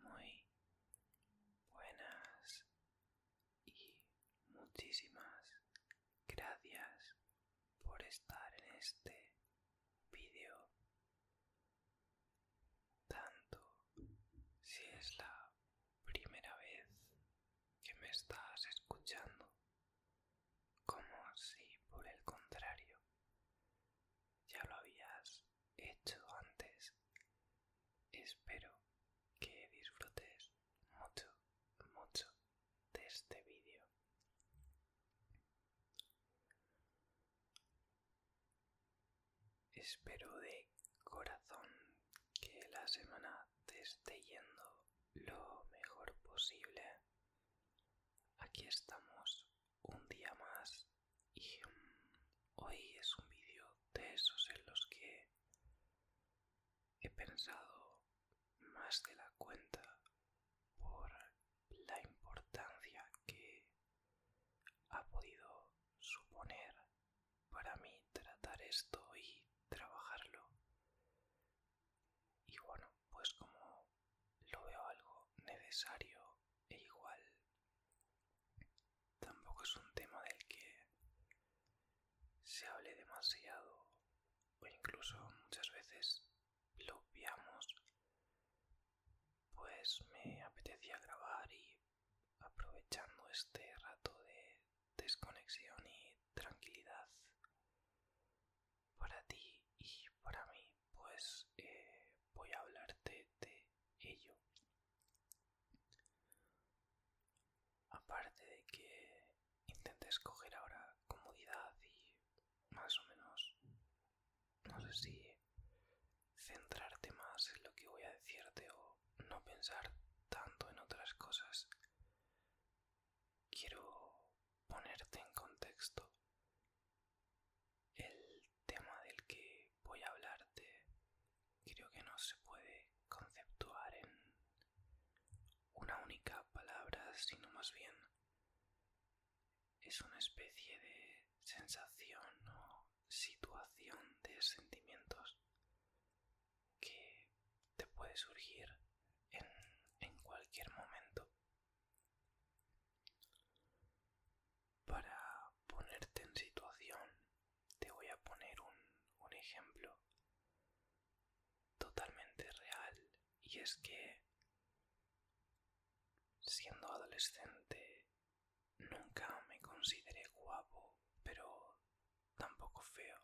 Muy buenas y muchísimas gracias por estar en este vídeo. Tanto si es la primera vez que me estás escuchando como si por el contrario ya lo habías hecho antes. Espero que disfrutes mucho, mucho de este vídeo. Espero de corazón que la semana te esté yendo lo mejor posible. Aquí estamos un día más y hoy es un vídeo de esos en los que he pensado más de la cuenta por la importancia que ha podido suponer para mí tratar esto y trabajarlo y bueno pues como lo veo algo necesario e igual Tampoco es un tema del que se hable demasiado o incluso muchas veces lo obviamos. Pues me apetecía grabar y aprovechando este rato de desconexión y tranquilidad para ti y para mí, pues eh, voy a hablarte de ello. Aparte de que intentes escoger ahora comodidad y más o menos, no sé si centrarte más en lo que voy a decirte o no pensar tanto en otras cosas. Quiero ponerte en contexto el tema del que voy a hablarte creo que no se puede conceptuar en una única palabra, sino más bien es una especie de sensación o situación de sentimientos que te puede surgir en, cualquier momento para ponerte en situación, te voy a poner un, ejemplo totalmente real y es que siendo adolescente nunca me consideré guapo, pero tampoco feo.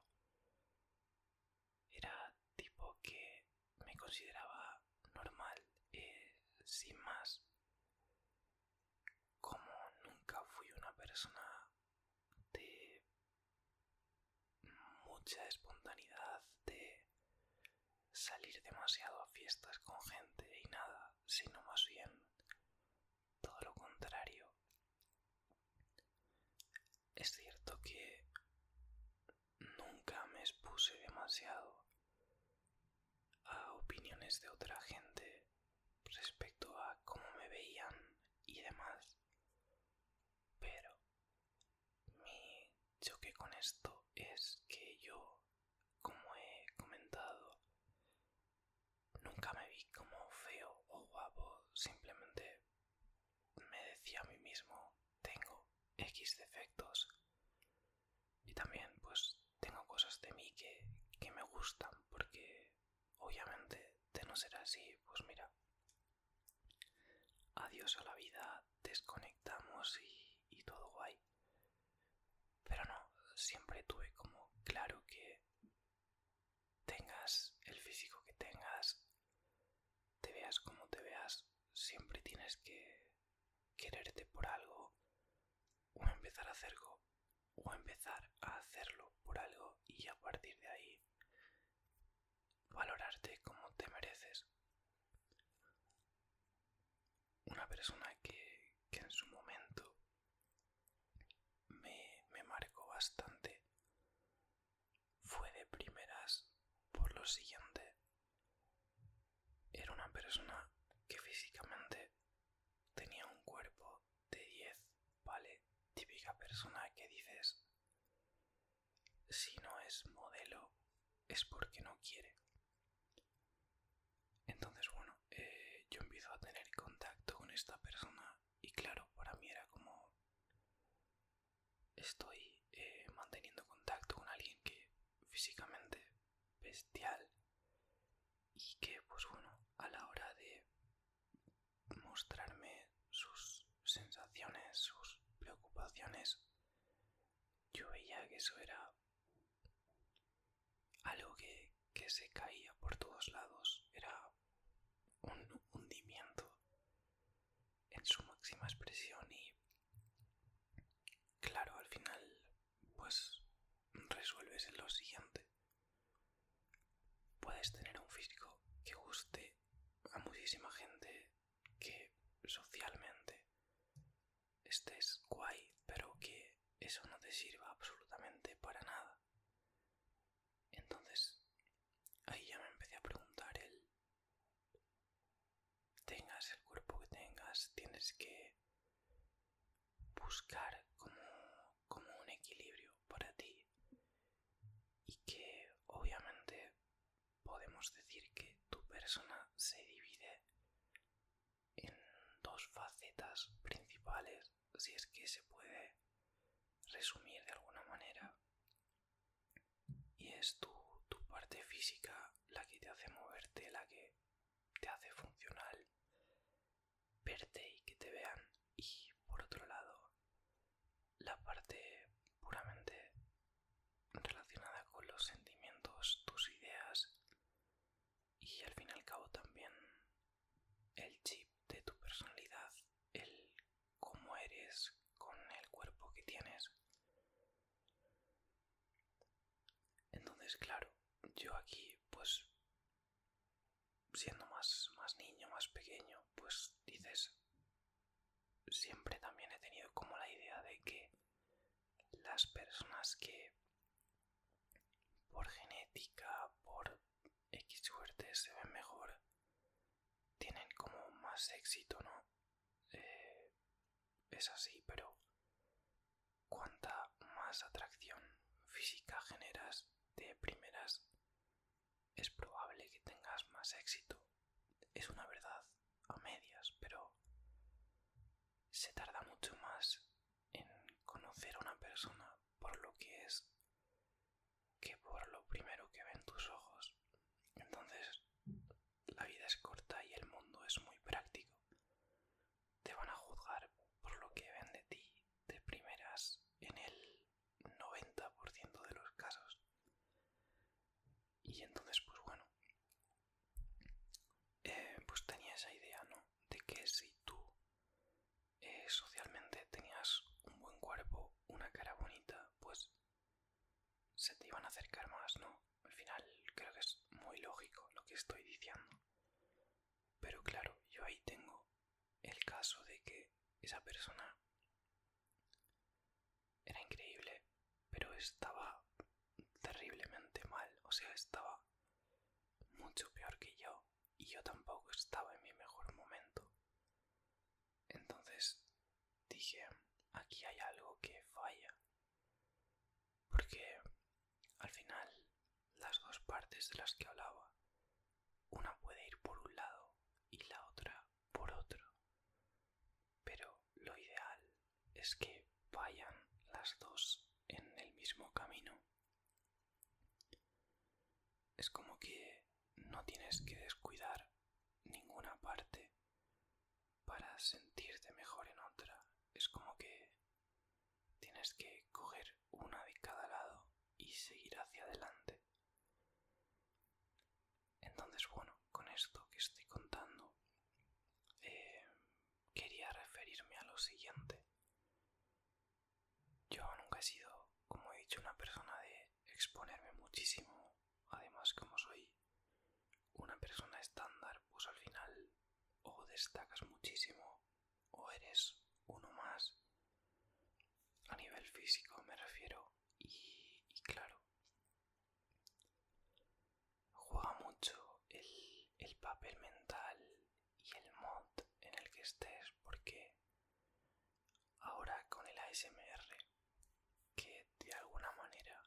Era tipo que me consideraba normal, eh, sin más como nunca fui una persona de mucha espontaneidad, de salir demasiado a fiestas con gente y nada, sino más bien todo lo contrario. Es cierto que nunca me expuse demasiado, a opiniones de otra gente respecto a cómo me veían y demás. Pero mi choque con esto es que yo, como he comentado, nunca me vi como feo o guapo, simplemente me decía a mí mismo, tengo X defectos. Y también pues tengo cosas de mí que, que me gustan porque obviamente de no ser así, pues mira, adiós a la vida, desconectamos y, y todo guay. Pero no, siempre tuve como claro que tengas el físico que tengas, te veas como te veas, siempre tienes que quererte por algo o empezar a hacer o empezar a hacerlo por algo y a partir de ahí valorarte como te mereces. Una persona que, que en su momento me, me marcó bastante fue de primeras por lo siguiente. Era una persona que físicamente Tenía un cuerpo de 10, ¿vale? Típica persona que dices, si no es modelo, es porque no quiere. Entonces, bueno, eh, yo empiezo a tener contacto con esta persona y claro, para mí era como... Estoy eh, manteniendo contacto con alguien que físicamente bestial y que pues bueno a la hora de mostrarme sus sensaciones sus preocupaciones yo veía que eso era algo que, que se caía por todos lados era un hundimiento en su máxima expresión y claro al final pues resuelves lo siguiente. Puedes tener un físico que guste a muchísima gente que socialmente estés guay, pero que eso no te sirva absolutamente para nada. Entonces, ahí ya me empecé a preguntar el... Tengas el cuerpo que tengas, tienes que buscar como, un equilibrio para ti y que obviamente podemos decir que tu persona se divide en dos facetas principales si es que se puede resumir de alguna manera y es tu, tu parte física la que te hace moverte la que te hace funcional verte y que te vean y por otro lado la parte puramente relacionada con los sentimientos, tus ideas y al fin y al cabo también el chip de tu personalidad, el cómo eres con el cuerpo que tienes. Entonces, claro, yo aquí pues siendo más, niño, más pequeño, pues dices, siempre también he tenido como la idea de que las personas que por genética, por X suerte se ven mejor, tienen como más éxito, ¿no? Eh, es así, pero cuanta más atracción física generas de primeras, es probable que tengas más éxito. Es una verdad a medias, pero se tarda mucho más en conocer a una persona por lo que es que por lo primero que ven tus ojos. Entonces, la vida es corta y el mundo es muy práctico te van a juzgar por lo que ven de ti de primeras en el 90% de los casos. Y entonces, pues bueno, eh, pues tenía esa idea, ¿no? De que si tú eh, socialmente tenías un buen cuerpo, una cara bonita, pues se te iban a acercar más, ¿no? Al final creo que es muy lógico lo que estoy diciendo. Pero claro, yo ahí tengo el caso de que esa persona era increíble, pero estaba terriblemente mal, o sea, estaba mucho peor que yo y yo tampoco estaba en mi mejor momento. Entonces dije, aquí hay algo que falla porque al final las dos partes de las que hablaba, una puede ir por un lado y la otra por otro, pero lo ideal es que vayan las dos en el mismo camino. Es como que no tienes que descuidar ninguna parte para sentirte mejor en otra. Es como que Tienes que coger una de cada lado y seguir hacia adelante. Entonces, bueno, con esto que estoy contando, eh, quería referirme a lo siguiente. Yo nunca he sido, como he dicho, una persona de exponerme muchísimo. Además, como soy una persona estándar, pues al final o destacas muchísimo o eres uno más a nivel físico me refiero y, claro juega mucho el, el papel mental y el mod en el que estés porque ahora con el ASMR que de alguna manera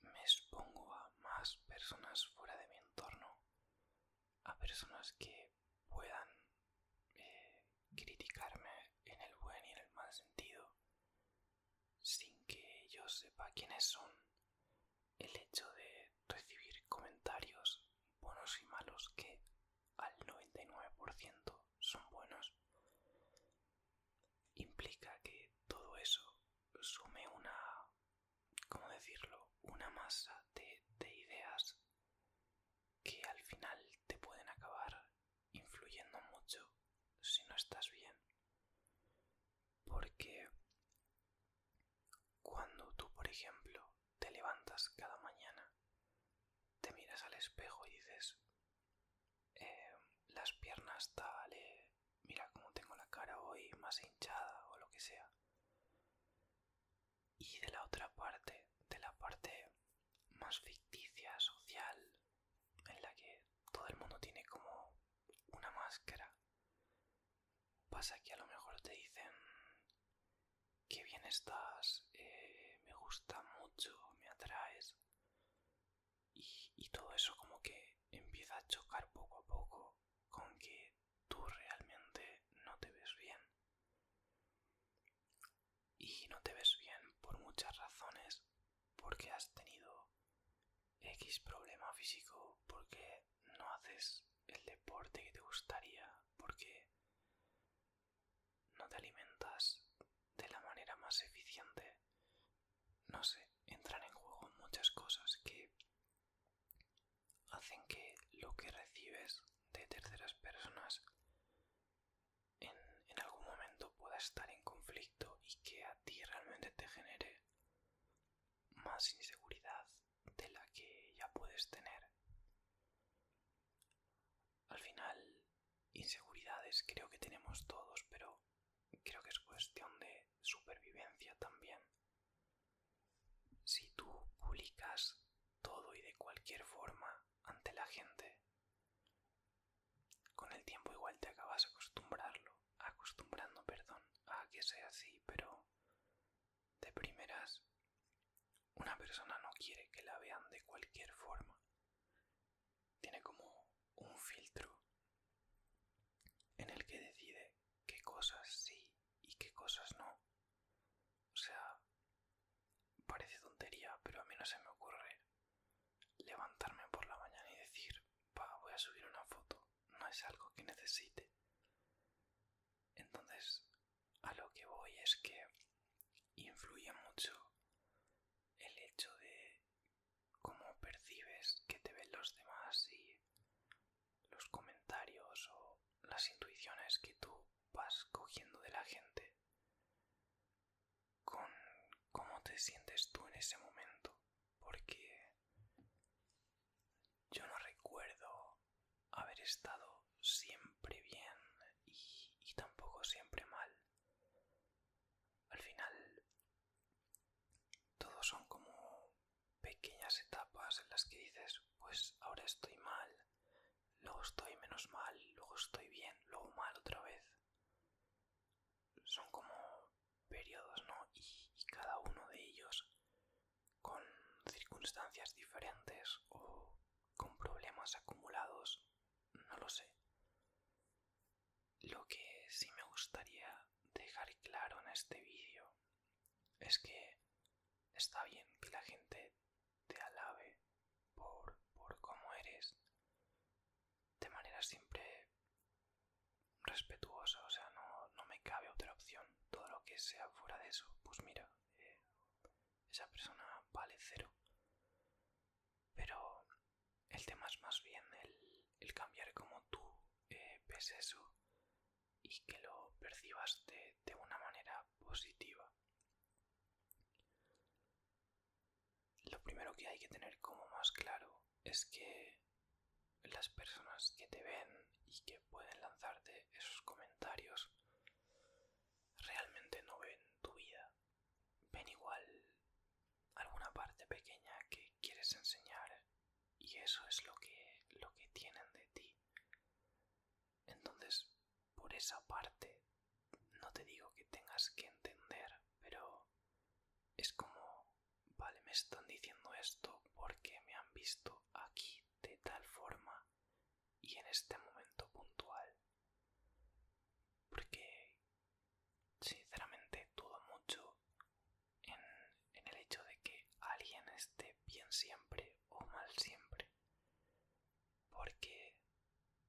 me expongo a más personas fuera de mi entorno a personas que puedan eh, criticarme en el buen y en el mal sentido sin que yo sepa quiénes son. El hecho de recibir comentarios buenos y malos que al 99% son buenos implica que todo eso sume una ¿cómo decirlo? Una masa de, ideas que al final te pueden acabar influyendo mucho si no estás bien. Porque cuando tú, por ejemplo, te levantas cada mañana, te miras al espejo y dices, em, las piernas tal, mira cómo tengo la cara hoy más hinchada o lo que sea, y de la otra parte, de la parte más ficticia, social, en la que todo el mundo tiene como una máscara. Pasa que a lo mejor te dicen que bien estás, eh, me gusta mucho, me atraes. y todo eso como que empieza a chocar poco a poco con que tú realmente no te ves bien. Y no te ves bien por muchas razones, porque has tenido X problema físico, porque no haces el deporte que te gustaría, porque no te alimentas de la manera más eficiente. No sé, entran en juego muchas cosas que hacen que lo que recibes de terceras personas en, algún momento pueda estar en conflicto y que a ti realmente te genere más inseguridad de la que ya puedes tener. Al final, inseguridades creo que tenemos todos, pero creo que es cuestión de supervivencia también. Si tú publicas todo y de cualquier forma ante la gente, con el tiempo igual te acabas acostumbrando, perdón, a que sea así, pero de primeras una persona no quiere que la vean de cualquier forma. Tiene como un filtro en el que decide qué cosas sí y qué cosas no. O sea, parece tontería, pero a mí no se me ocurre levantarme por la mañana y decir, pa, voy a subir una foto. No es algo que necesite. Entonces, a lo que voy es que influye mucho el hecho de cómo percibes que te ven los demás y los comentarios o las intuiciones que tú vas cogiendo de la gente con cómo te sientes tú en ese momento porque yo no recuerdo haber estado siempre bien y, y tampoco siempre mal al final todos son como pequeñas etapas en las que dices, pues ahora estoy mal, luego estoy menos mal, luego estoy bien, luego mal otra vez. Son como periodos, ¿no? Y, cada uno de ellos con circunstancias diferentes o con problemas acumulados, no lo sé. Lo que sí me gustaría dejar claro en este vídeo es que está bien que la gente te alabe por, por cómo eres de manera siempre respetuosa, o sea, no, no me cabe otra opción. Todo lo que sea fuera de eso, pues mira, eh, esa persona vale cero. Pero el tema es más bien el, cambiar como tú eh, ves eso y que lo percibas de, una manera positiva. Lo primero que hay que tener como más claro es que las personas que te ven y que pueden lanzarte esos comentarios realmente no ven tu vida. Ven igual alguna parte pequeña que quieres enseñar y eso es lo que tienen de ti. Entonces, por esa parte, no te digo que tengas que entender, pero es como, vale, me están diciendo esto porque me han visto aquí de tal forma y en este momento puntual. Porque, sinceramente, dudo mucho en el hecho de que alguien esté bien siempre o mal siempre. Porque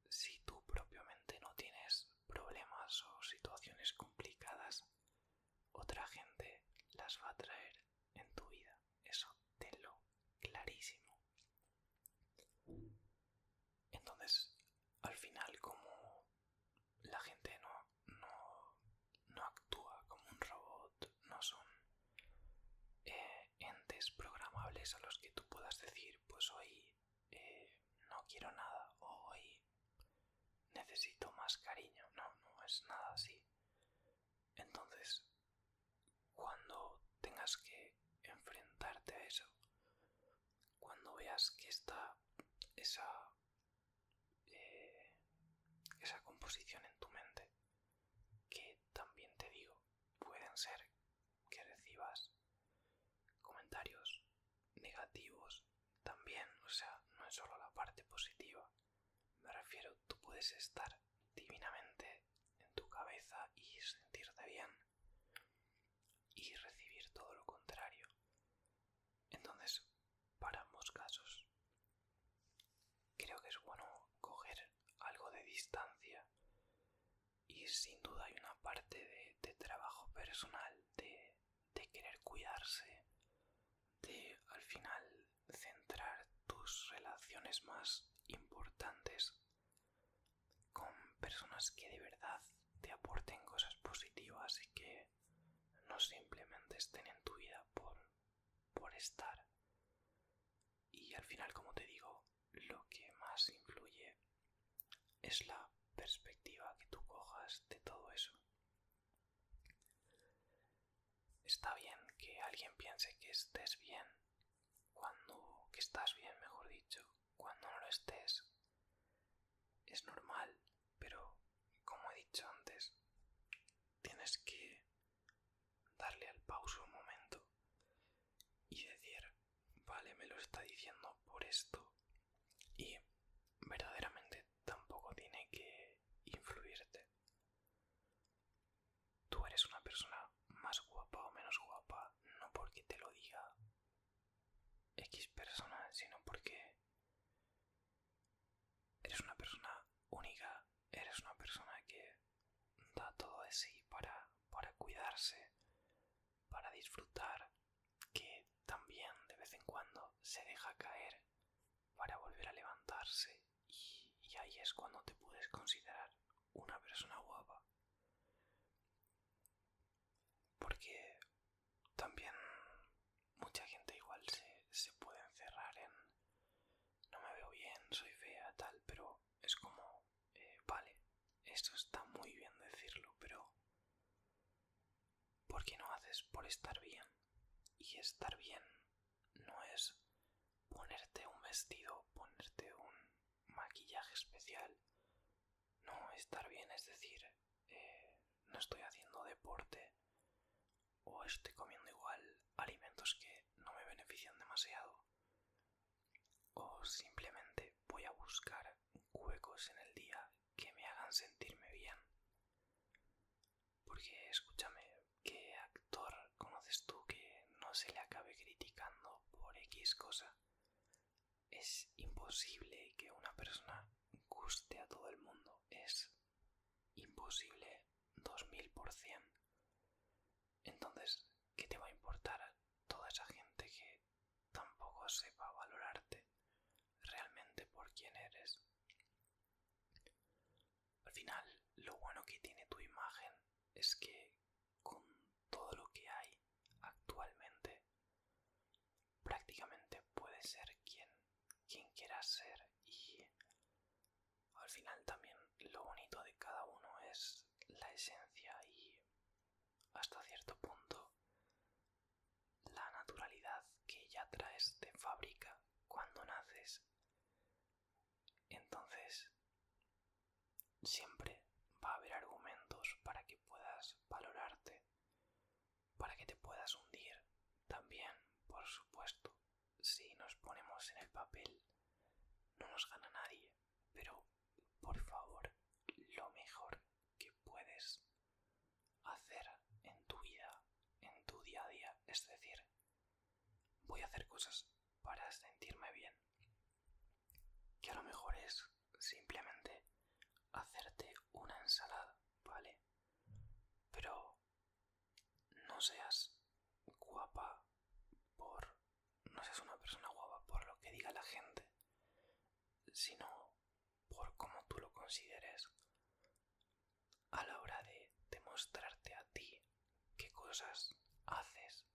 si tú propiamente no tienes problemas o situaciones complicadas, otra gente las va a traer en tu vida. Eso tenlo clarísimo. Entonces, al final, como la gente no, no no actúa como un robot, no son eh, entes programables a los que tú puedas decir, pues hoy eh, no quiero nada o hoy necesito más cariño. No, no es nada así. Entonces, cuando tengas que enfrentarte a eso, cuando veas que está esa, eh, esa composición en tu mente, que también te digo, pueden ser que recibas comentarios negativos también, o sea, no es solo la parte positiva. Me refiero, tú puedes estar divinamente en tu cabeza y sentirte bien y recibir todo lo contrario. Entonces, para ambos casos Creo que es bueno coger algo de distancia y sin duda hay una parte de, trabajo personal, de, de querer cuidarse, de al final centrar tus relaciones más importantes con personas que de verdad te aporten cosas positivas y que no simplemente estén en tu vida por por estar. Y al final, como te digo, lo que más influye es la perspectiva que tú cojas de todo eso. Está bien que alguien piense que estés bien, cuando que estás bien, mejor dicho, cuando no lo estés. Es normal, pero como he dicho antes, tienes que darle al pauso un momento y decir, vale, me lo está diciendo por esto y verdaderamente tampoco tiene que influirte. Tú eres una persona más guapa o menos guapa, no porque te lo diga X persona, sino porque Eres una persona única, eres una persona que da todo de sí para, para cuidarse, para disfrutar, que también de vez en cuando se deja caer para volver a levantarse y, ahí es cuando te puedes considerar una persona guapa. Porque también mucha gente igual se puede encerrar en, no me veo bien, soy fea, tal, pero es como, eh, vale, eso está muy bien decirlo, pero ¿por qué no haces por estar bien? Y estar bien no es ponerte un vestido, ponerte un maquillaje especial. No, estar bien es decir, eh, no estoy haciendo deporte o estoy comiendo igual alimentos que no me benefician demasiado o simplemente voy a buscar huecos en el día que me hagan sentirme bien. Porque escúchame, ¿qué actor conoces tú que no se le acabe criticando por X cosa? Es imposible que una persona guste a todo el mundo, es mil imposible 2000%. Entonces, ¿qué te va a importar toda esa gente que tampoco sepa valorarte realmente por quién eres? Al final, lo bueno que tiene tu imagen es que con todo lo que hay actualmente, prácticamente puedes ser quien, quien quieras ser y al final también lo bonito de cada uno es la esencia y hasta cierto punto la naturalidad que ya traes de fábrica cuando naces. Entonces, siempre va a haber argumentos para que puedas valorarte, para que te puedas hundir también, por supuesto si nos ponemos en el papel, no nos gana nadie, pero por favor, lo mejor que puedes hacer en tu vida, en tu día a día, es decir, voy a hacer cosas para sentirme bien. Que a lo mejor es simplemente hacerte una ensalada, ¿vale? Pero no seas guapa por... no seas una persona guapa por lo que diga la gente, sino por cómo tú lo consideres a la hora de demostrarte a ti qué cosas haces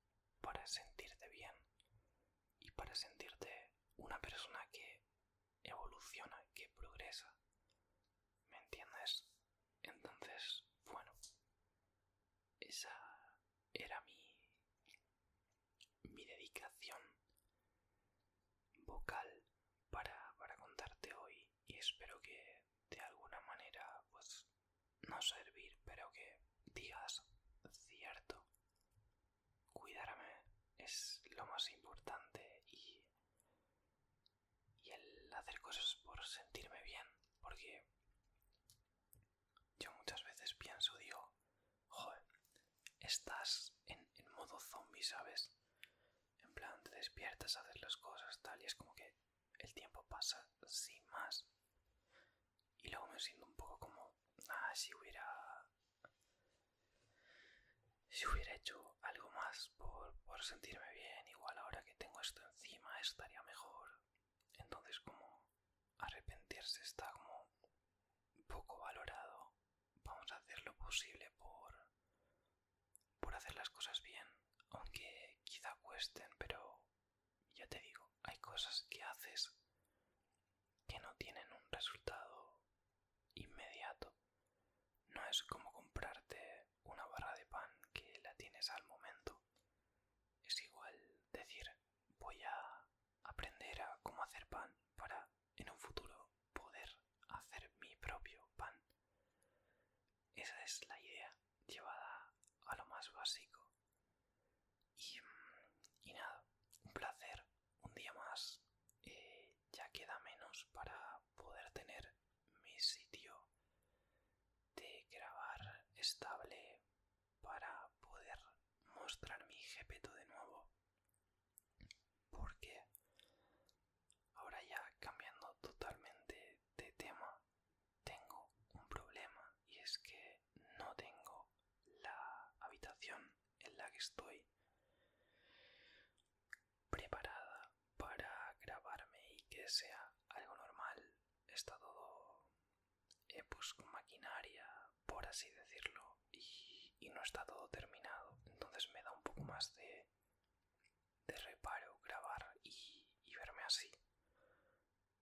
para sentirte bien y para sentirte una persona que evoluciona, que progresa, ¿Me entiendes? Entonces, bueno, esa era mi, mi dedicación vocal para, para contarte hoy y espero que de alguna manera, pues, no servir, pero que digas cierto. Cuidarme es lo más importante y y el hacer cosas por sentirme bien, porque yo muchas veces pienso, digo, joder, estás en, modo zombie, ¿sabes? En plan, te despiertas, a hacer las cosas, tal, y es como que el tiempo pasa sin más. Y luego me siento un poco como, ah, si hubiera... Si hubiera hecho algo más, por, por sentirme bien. Igual ahora que tengo esto encima estaría mejor. Entonces como arrepentirse está como poco valorado. Vamos a hacer lo posible por, por hacer las cosas bien. Aunque quizá cuesten, pero ya te digo, hay cosas que haces que no tienen un resultado inmediato. No es como comprarte una barra de pan que la tienes al momento. Es igual decir voy a aprender a cómo hacer pan para en un futuro poder hacer mi propio pan. Esa es la idea llevada a lo más básico. Y, mm, y nada, un placer, un día más. Eh, ya queda menos para poder tener mi sitio de grabar estable para poder mostrar mi jepeto de nuevo. Porque ahora ya cambiando totalmente de tema, tengo un problema y es que no tengo la habitación en la que estoy preparada para grabarme y que sea algo normal. Está todo eh, pues, maquinaria, por así decirlo, y, no está todo terminado. Entonces me da un poco más de, de reparo grabar y, verme así.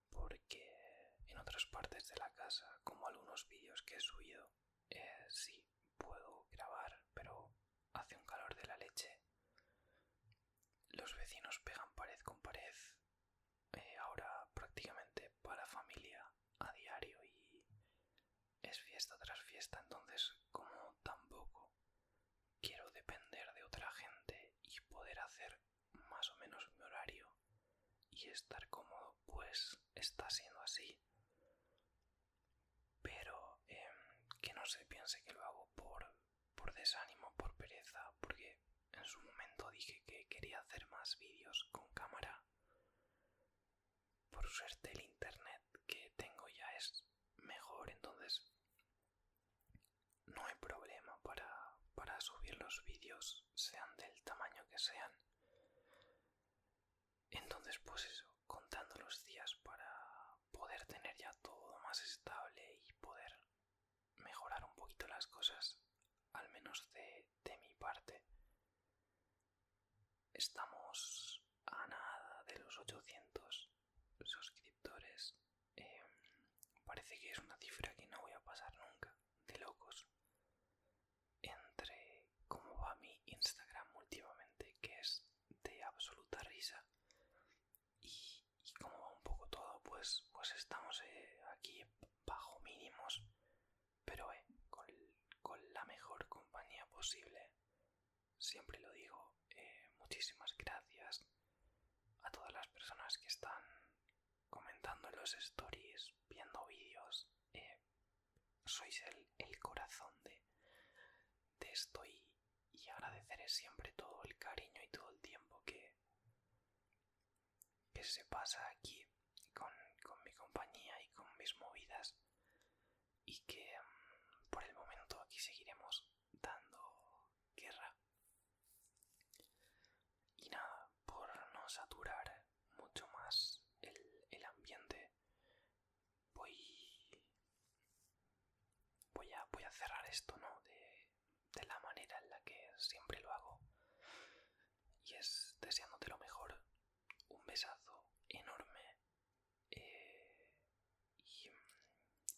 Porque en otras partes de la casa, como algunos vídeos que he subido, eh, sí puedo grabar, pero hace un calor de la leche los vecinos pegan pared con pared, eh, ahora prácticamente para familia a diario y es fiesta tras fiesta, entonces como tampoco quiero depender de otra gente y poder hacer más o menos mi horario y estar cómodo, pues está siendo así. Pero em, que no se piense que lo hago por por desánimo, por pereza, porque en su momento dije que quería hacer más vídeos con cámara. Por suerte el internet que tengo ya es mejor, entonces no hay problema para, para subir los vídeos, sean del tamaño que sean. Entonces pues eso, contando los días para poder tener ya todo más estable y poder mejorar un poquito las cosas, al menos de, de mi parte. Estamos a nada de los 800 suscriptores. Em, parece que es una cifra que no voy a pasar nunca, de locos. Entre cómo va mi Instagram últimamente, que es de absoluta risa, y, como va un poco todo, pues, pues estamos eh, aquí bajo mínimos, pero eh, con, la mejor compañía posible. Siempre lo digo, eh, muchísimas gracias a todas las personas que están comentando los stories, viendo vídeos. sois el, el corazón de, de esto y, y agradeceré siempre todo el cariño y todo el tiempo que, se pasa aquí con, mi compañía y con mis movidas y que mm, por el momento aquí seguiremos dando guerra. Y nada, por no saturar mucho más el, ambiente, voy, voy, a, voy a cerrar esto, ¿no? de la manera en la que siempre lo hago. Y es deseándote lo mejor. Un besazo enorme. Eh, y,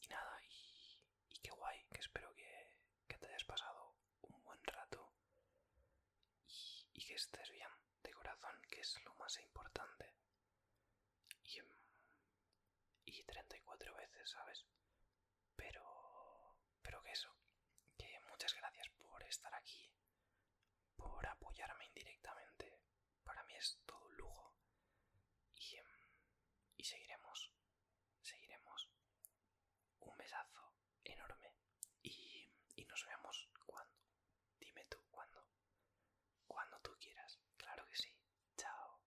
nada, y, qué guay, que espero que, te hayas pasado un buen rato. Y, que estés bien, de corazón, que es lo más importante y 34 veces, ¿sabes? Pero... pero que eso, que muchas gracias por estar aquí, por apoyarme indirectamente, para mí es todo un lujo y, em, seguiremos, seguiremos. Un besazo enorme y, y nos vemos cuando, dime tú cuándo, cuando tú quieras, claro que sí, chao.